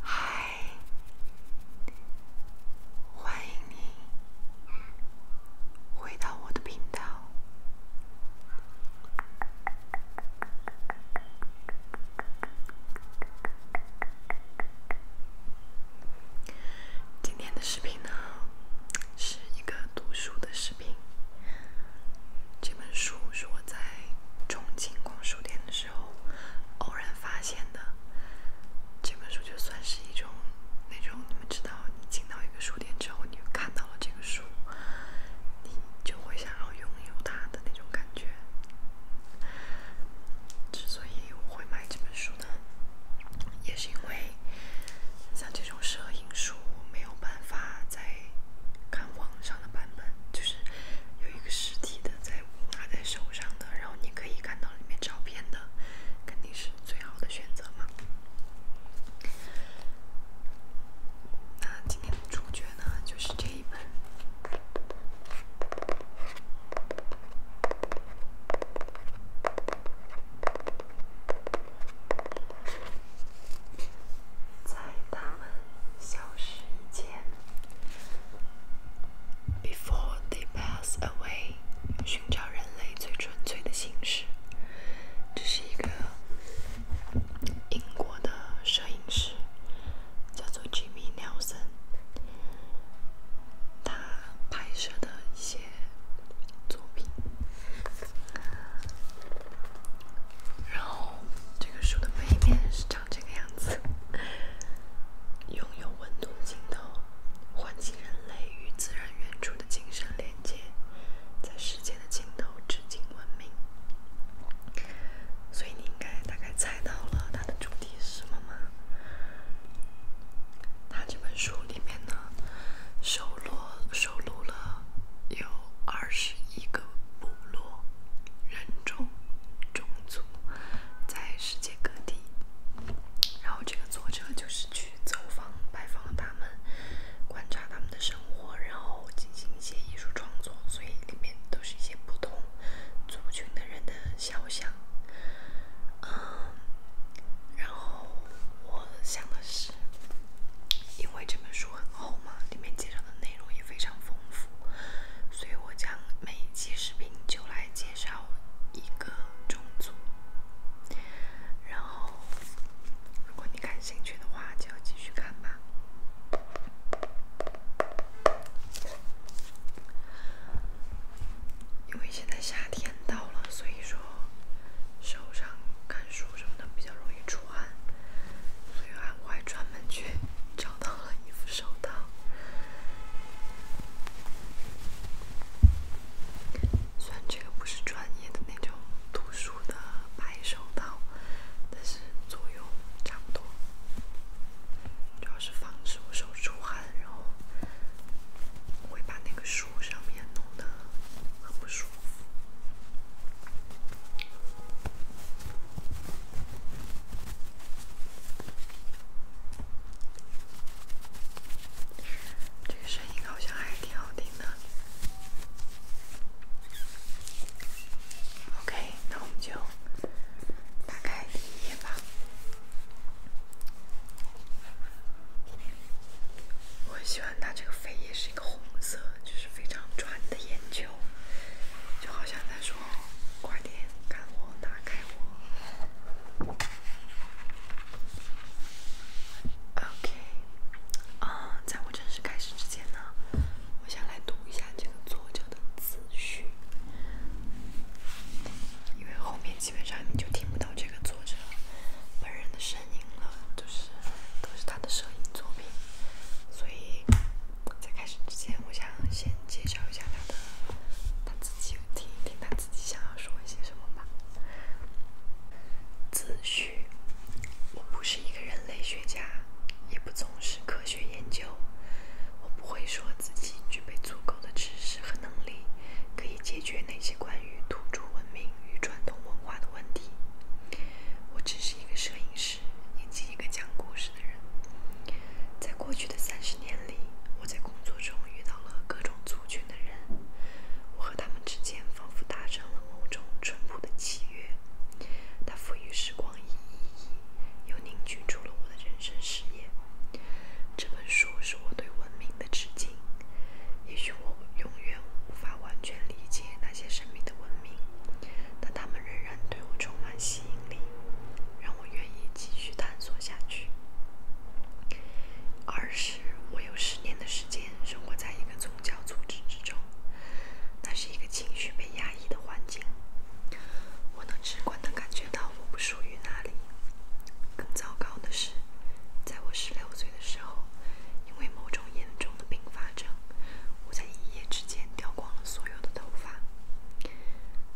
嗨，欢迎你回到我的频道。今天的视频呢，是一个读书的视频。这本书是我在重庆逛书店的时候。之偶然发现的这本书，就算是一种那种你们知道，你进到一个书店之后，你看到了这个书，你就会想要拥有它的那种感觉。之所以我会买这本书呢，也是因为像这种摄影书没有办法在看网。网上的版本就是有一个实体的，在拿在手上的，然后你可以看到里面照片的，肯定是最好的选择嘛。那今天的主角呢，就是这一本，在他们。就是一件 before they pass away，寻找人类最纯粹的心事。这是一个英国的摄影师，叫做 Jimmy l i a Sen，他拍摄的一些作品。然后这个书的背面是这这个样子，拥有温度的镜头，唤起人类与自然原初的精神连接，在世界的尽头，至今闻名。所以你应该大概猜到了它的主题是什么吗？它这本书里面呢，收录收录了有二十一个。部落、人种、种族在世界各地，然后这个作者就是去走访、拜访他们，观察他们的生活，然后进行一些艺术创作，所以里面都是一些不同族群的人的肖像。嗯，然后我想的是，因为这本书很厚嘛，里面介绍。内容也非常丰富，所以我将每一期视频就来介绍一个种族。然后，如果你感兴趣的话，就继续看吧。因为现在夏天到了，所以说手上、看书什么的比较容易出汗，所以我还专门去找。找到了一副手套，虽然这个不是专业的那种读书的白手套，但是作用差不多。主要是防止我手出汗，然后会把那个书上面弄得很不舒服。这个声音好像还挺好听的。OK，那我们就打开第一页吧。我喜欢它这个扉页是一个红色，就是非常专的眼球，就好像在说。点，看我打开我。OK，啊，在我正式开始之前呢，我想来读一下这个作者的自序，因为后面基本上你就听不到这个作者本人的声音了，就是都是他的摄影作品，所以。在开始之前，我想先介绍一下他的，他自己听一听他自己想要说一些什么吧。自序：我不是一个人类学家，也不从事科学研究。我不会说自己具备足够的知识和能力，可以解决那些关于土著文明与传统文化的问题。我只是一个摄影师。以及一个讲故事的人。在过去的三十年里，我在工作中遇到了各种族群的人，我和他们之间仿佛达成了某种淳朴的契约，它赋予时光以意义，又凝聚出了我的人生事业。这本书是我对文明的致敬。也许我永远无法完全理解那些神秘的文明，但他们仍然对我充满吸引力，让。我愿意继续探索下去。二是，我有十年的时间生活在一个宗教组织之中，那是一个情绪被压抑的环境。我能直观的感觉到我不属于那里。更糟糕的是，在我十六岁的时候，因为某种严重的并发症，我在一夜之间掉光了所有的头发。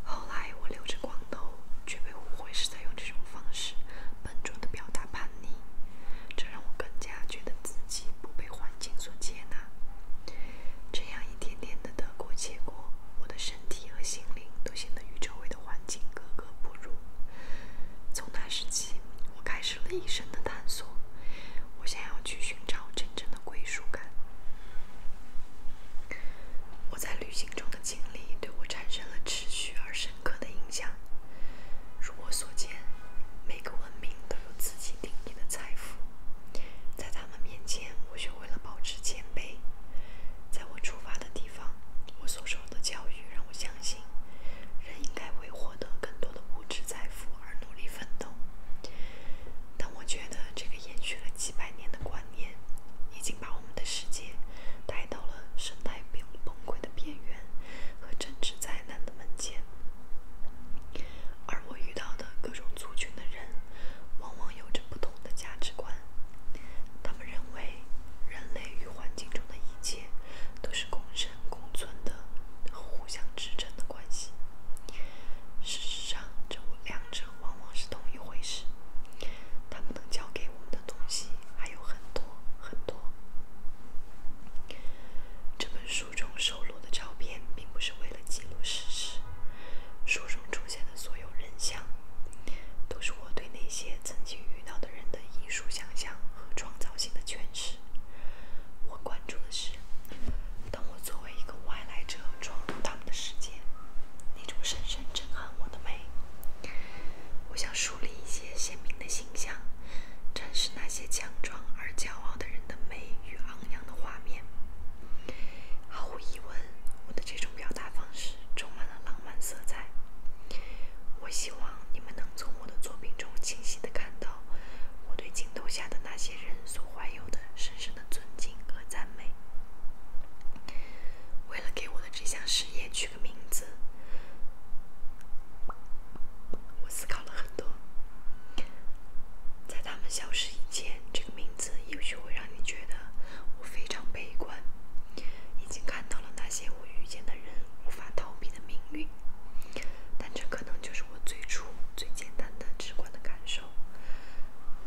后来我留着光头，却被误会是在用这种方式笨拙的表达叛逆，这让我更加觉得自己不被环境所接纳。这样一天天的得过且过，我的身体和心灵都显得与周围的环境格格不入。从那时起，我开始了一生的探索，我想要去寻找这。真正的归属感。我在旅行中的经历对我产生了持续而深刻的影响。如我所见，每个文明都有自己定义的财富，在他们面前，我学会了保持谦卑。在我出发的地方，我所受的教育让我相信，人应该为获得更多的物质财富而努力奋斗。但我觉得这个。延续了几百年的观念，已经把我们的世界带到了生态崩崩溃的边缘和政治灾难的门前。而我遇到的各种族群的人，往往有着不同的价值观。他们认为，人类与环境中的一切都是共生共存的互相支撑的关系。事实上，这五两。这往往是同一回事。他们能教给我们的东西还有很多很多。这本书中收录的照片，并不是为了记录事实。书中出现的所有人像，都是我对那些曾经遇到的人的艺术想象和创造性的诠释。我关注的是。当我作为一个外来者闯入他们的世界，那种深深震撼我的美，我想树立一些鲜明的形象，展示那些强壮而骄傲的人的美与昂扬的画面。毫无疑问，我的这种表达方式充满了浪漫色彩。我希望你们能从我的作品中清晰的看到我对镜头下的那些人所怀。有的深深的尊敬和赞美。为了给我的这项事业取个名字，我思考了很多。在他们消失以前，这个名字也许会让你觉得我非常悲观，已经看到了那些我遇见的人无法逃避的命运。但这可能就是我最初、最简单的、直观的感受。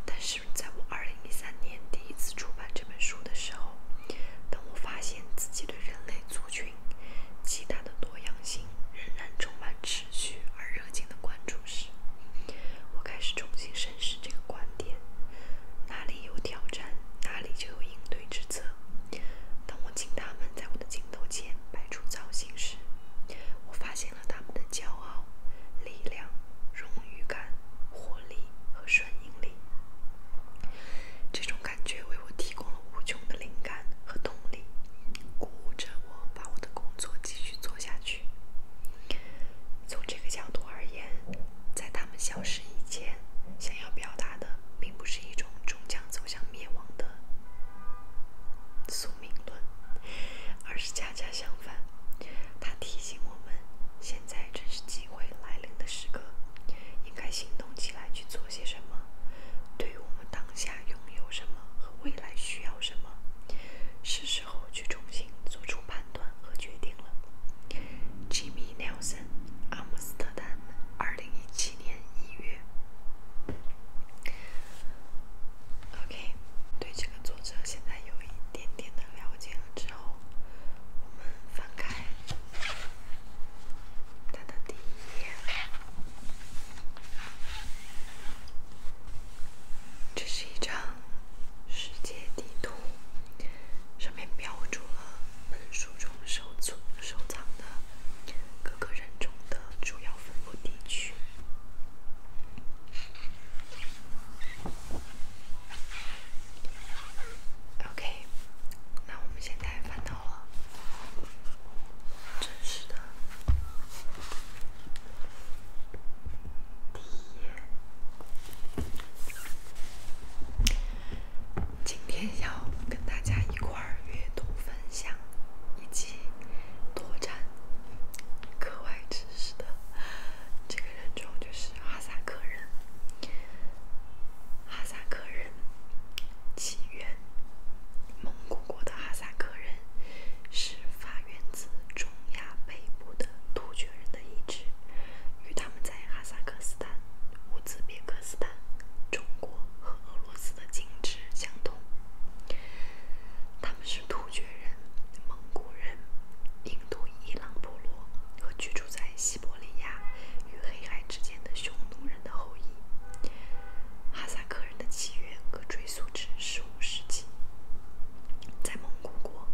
但是。是在我2013年第一次出版这本书的时候，当我发现自己对人类族群极大的多样性仍然充满持续而热情的关注时，我开始重新审视这个观点：哪里有挑战，哪里就有应对之策。当我请他们在我的镜头前摆出造型时，我发现。了他们的骄傲、力量、荣誉感、活力和顺应力。这种感觉为我提供了无穷的灵感和动力，鼓舞着我把我的工作继续做下去。从这个角度而言，在他们消失以前，想要表达的并不是一种终将走向灭亡的宿命论，而是恰恰。相反，他提醒我们，现在正是机会来临的时刻，应该行动起来去做些什么。对于我们当下拥有什么和未来需要什么，是时候去重新做出判断和决定了。Jimmy Nelson，阿姆斯特丹，二零一七年一月。OK，对这个作者现在有一。点点的了解了之后，我们翻开它的第一页，这是一张世界地图，上面标注了本书中收存、收藏的各个人种的主要分布地区。OK，那我们现在翻到了真实的第一页。今天要跟大家一块阅读分享，以及拓展课外知识的。这个人种就是哈萨克人。哈萨克人起源蒙古国的哈萨克人是发源自中亚北部的突厥人的一支，与他们在哈萨克斯坦、乌兹别克斯坦、中国和俄罗斯的近支相同。他。他们是突厥人、蒙古人、印度伊朗部落和居住在西伯利亚与黑海之间的匈奴人的后裔。哈萨克人的起源可追溯至十五世纪。在蒙古国，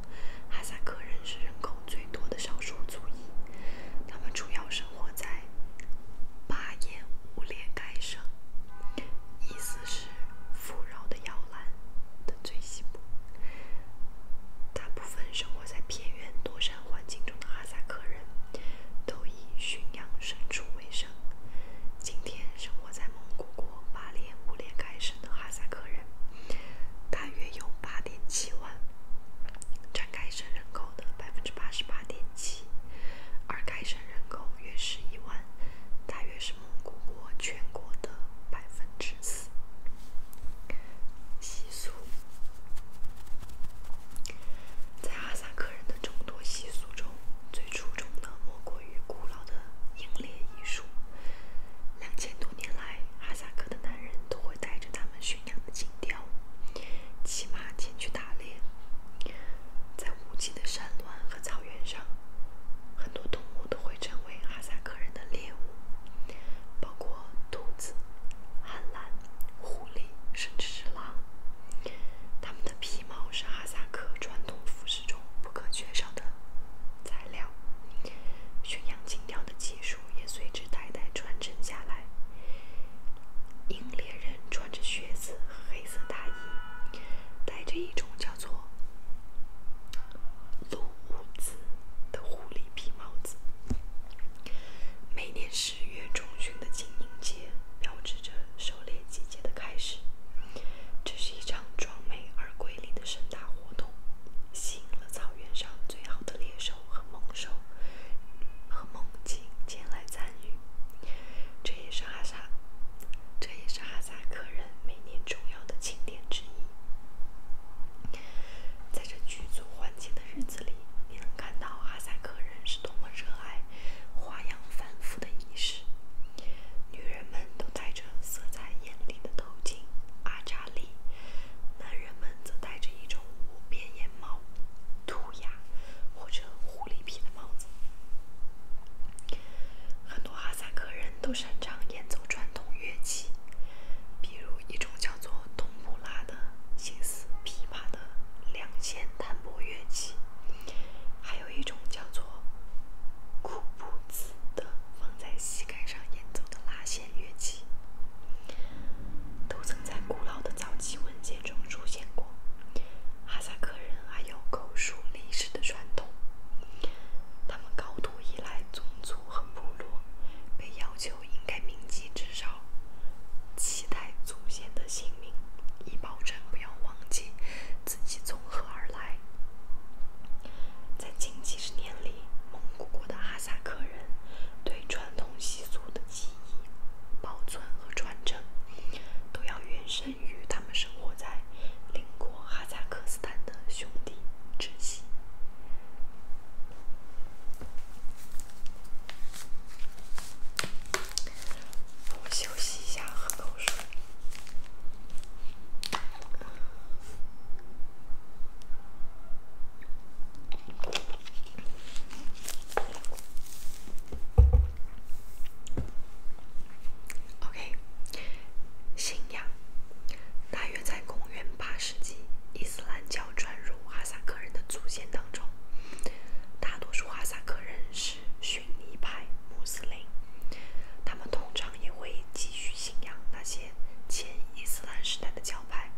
哈萨克人是人口最多的少数族裔，他们主要生活在巴彦乌列盖省。意思是？是富饶的摇篮的最西部，大部分生活在偏远多山环境中的哈萨克人都以驯养牲畜为生。今天生活在蒙古国八连五连开省的哈萨克人大约有八点七万，占开省人口的百分之八十八点七，而开省人口约十一万，大约是。蒙古国全国的百分之四。习俗，在哈萨克人的众多习俗中，最出众的莫过于古老的英烈艺术。两千多年来，哈萨克的男人都会带着他们驯养的金雕，骑马前去打猎。在无际的山峦和草原上，很多动物都。会成为哈萨克人的猎物，包括兔子、旱獭、狐狸，甚至是狼。它们的皮毛是哈萨克传统服饰中不可缺少的材料。驯养金雕的技术也随之代代传承下来。英猎人穿着靴子和黑色大衣，带着一种叫做……鲁物子的狐狸皮帽子。每年十月中旬的清明节，标志着狩猎季节的开始。这是一场壮美而瑰丽的盛大活动，吸引了草原上最好的猎手和猛兽、和猛禽前来参与。这也是哈萨，这也是哈萨克人。每年重要的庆典之一，在这剧组欢庆的日子里，你能看到哈萨克人是多么热爱花样繁复的仪式。女人们都戴着色彩艳丽的头巾阿扎利。男人们则戴着一种无边檐帽、兔牙或者狐狸皮的帽子。很多哈萨克人。都擅长演奏传统乐器，比如一种叫做冬布拉的形似琵琶的两弦弹拨乐器，还有一种叫做库布子的放在膝盖上演奏的拉弦乐器，都曾在古老的早期文件中出现过。哈萨克人还有口述历史的传统，他们高度。依赖宗族和部落，被要求应该铭记至少七代祖先的姓名，以保证不要忘记自己从何而来。在近几十年里，蒙古国的哈萨克人对传统习俗的记忆、保存和传承，都要远胜于他们生活在邻国哈萨克斯坦。的兄弟，窒息。我休息一下，喝口水。o k 信仰大约在公元八世纪，伊斯兰教传入哈萨克人的祖先当中。大多数哈萨克人是逊尼派穆斯林，他们通常也会继续信仰那些前伊斯兰时代的教派，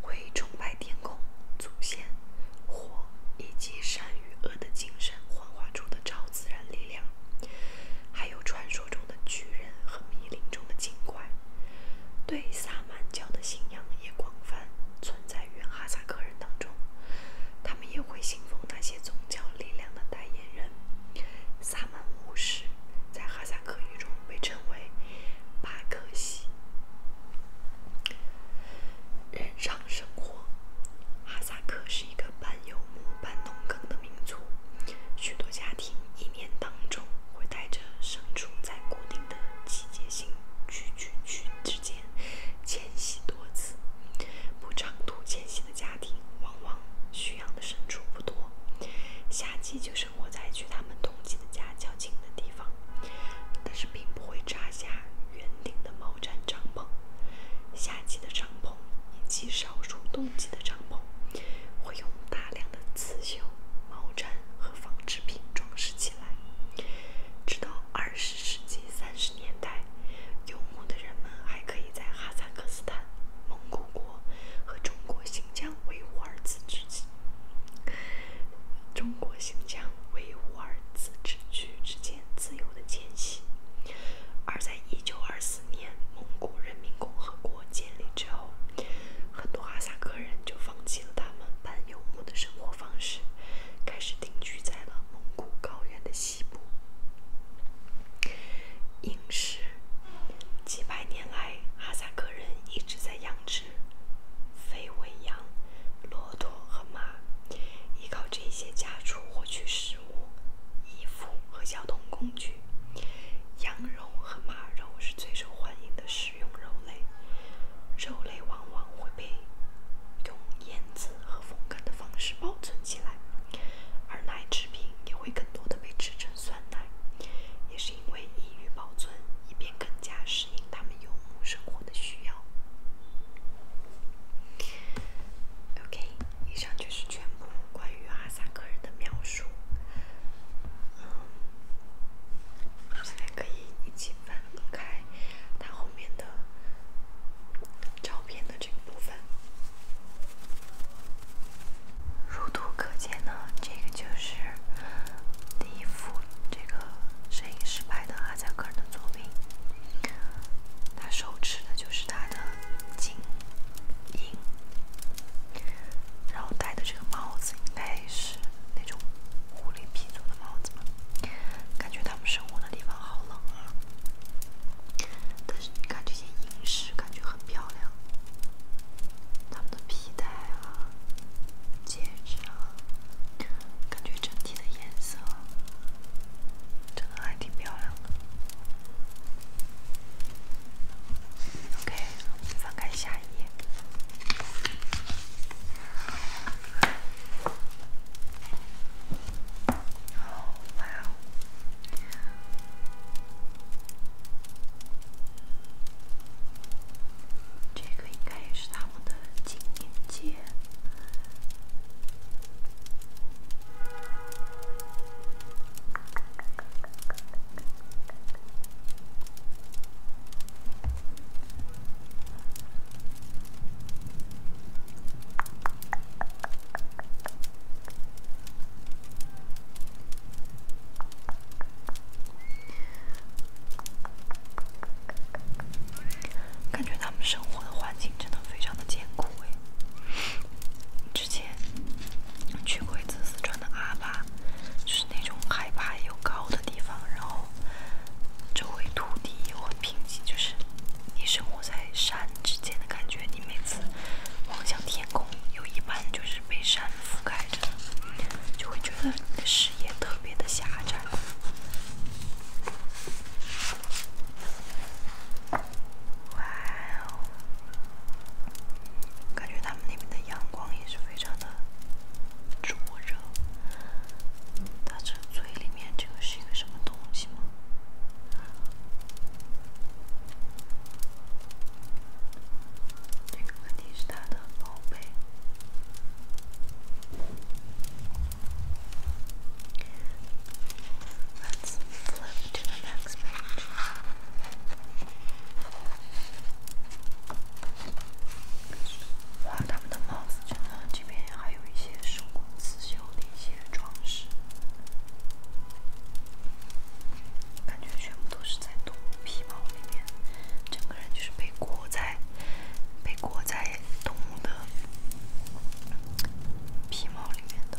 会崇拜天空、祖先、火以及善与恶的精神幻化出的超自然力量。还有传说中的巨人和密林中的精怪，对萨满教的信仰也广泛存在于哈萨克人当中，他们也会信奉那些宗教力量的代言人——萨满巫师，在哈萨克语中被称为“巴克西”。日常生活，哈萨克是一个半游牧、半农耕的民族，许多家庭。一年当中，会带着牲畜在固定的季节性区区区之间迁徙多次。不长途迁徙的家庭，往往需要的牲畜不多，夏季就生活在距他们冬季的家较近的地方，但是并不会扎下圆顶的毛毡帐篷。夏季的帐篷以及少数冬季的帐篷，会用。大量的刺绣、毛毡和纺织品装饰起来。直到20世纪30年代，游牧的人们还可以在哈萨克斯坦、蒙古国和中国新疆维吾尔自治区、中国新疆维吾尔自治区之间自由的迁徙。而在1924。四4年，蒙古人民共和国建立之后，很多哈萨克人就放弃了他们半游牧的生活方式，开始定居在了蒙古高原的西部。饮食，几百年来，哈萨克人一直在养殖肥喂羊、骆驼和马，依靠这些家畜获取食物、衣服和交通工具。羊肉和马肉是最受欢迎的食用肉类，肉类往往会被用腌制和风干的方式保存起来，而奶制品也会更多的被制成酸奶，也是因为易于保存，以便更加适应他们游牧生活的需要。OK，以上就是。全部关于阿萨克人的描述，嗯，现在可以一起翻开他后面的照片的这个部分。如图可见呢，这个就是第一幅这个摄影师拍的阿萨克人的作品，他手持的就是他的。金鹰，然后戴的这个帽子应该是那种狐狸皮做的帽子，吧，感觉他们生活的地方好冷啊。但是你看这些银饰，感觉很漂亮。他们的皮带啊、戒指啊，感觉整体的颜色真的还挺漂亮的。OK。翻开下一页，然后，这个应该也是他们的纪念节。感觉他们生活的环境真的非常的艰苦之前去过一次四川的阿坝，就是那种海拔又高的地方，然后周围土地又很贫瘠，就是你生活在山之间的感觉。你每次望向天空，有一半就是被山覆盖着，就会觉得你的视野特别的狭窄。哇哦，感觉他们那边的。阳光也是非常的灼热。它这嘴里面这个是一个什么东西吗？这个肯定是它的宝贝。哇，他们的帽子真的，这边还有一些手工刺绣的一些装饰，感觉全部都是在动物皮毛里面，整个人就是被裹在被裹在动物的皮毛里面的。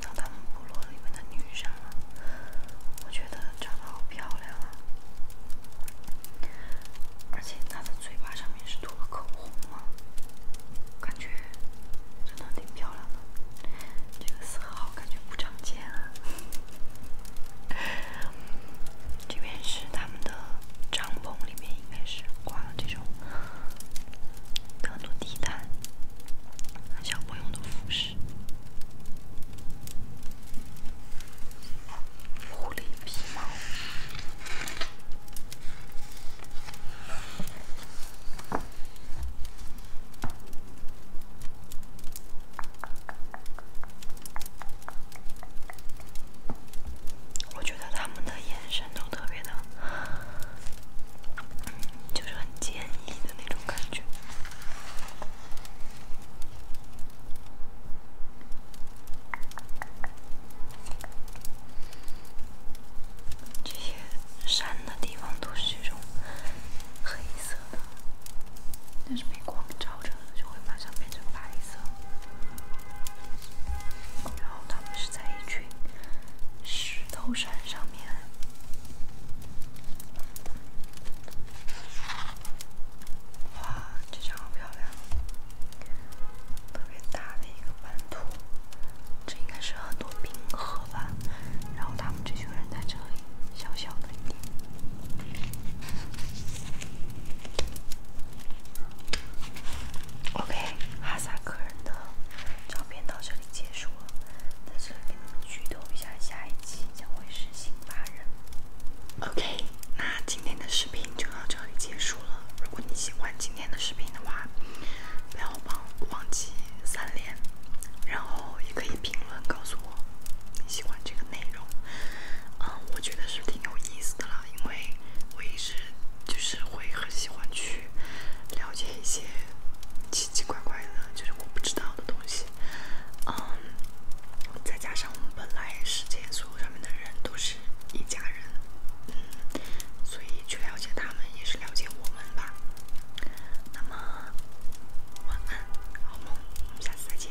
看到他们部落里面的女生了，我觉得长得好漂亮啊！而且她的嘴巴上面是涂了口红啊，感觉真的挺漂亮的。这个色号感觉不常见啊。这边是他们的帐篷里面，应该是挂了这种很多地毯，小朋友用的服饰。狐狸皮毛，我觉得他们的眼神都特别的，就是很坚毅的那种感觉。这些山的地方都是这种黑色的，但是被光照着就会马上变成白色。然后他们是在一群石头山上。哇，这张好漂亮！特别大的一个版图，这应该是很多冰河吧？然后他们这群人在这里小小的。OK，哈萨克人的照片到这里结束了。在这里给你们剧透一下，下一期将会是新八人。OK，那今天的视频就到这里结束了。如果你喜欢今天的视频的话，不要忘忘记三连，然后也可以评论告诉我你喜欢这个内容。嗯，我觉得是挺有意思的啦，因为我一直就是会很喜欢去了解一些奇奇怪怪的，就是我不知道的东西。嗯，再加上我们本来世界所有上面的人都是一家人，嗯，所以去了解他们也是了解我们吧。那么，晚安，好梦，我们下次再见。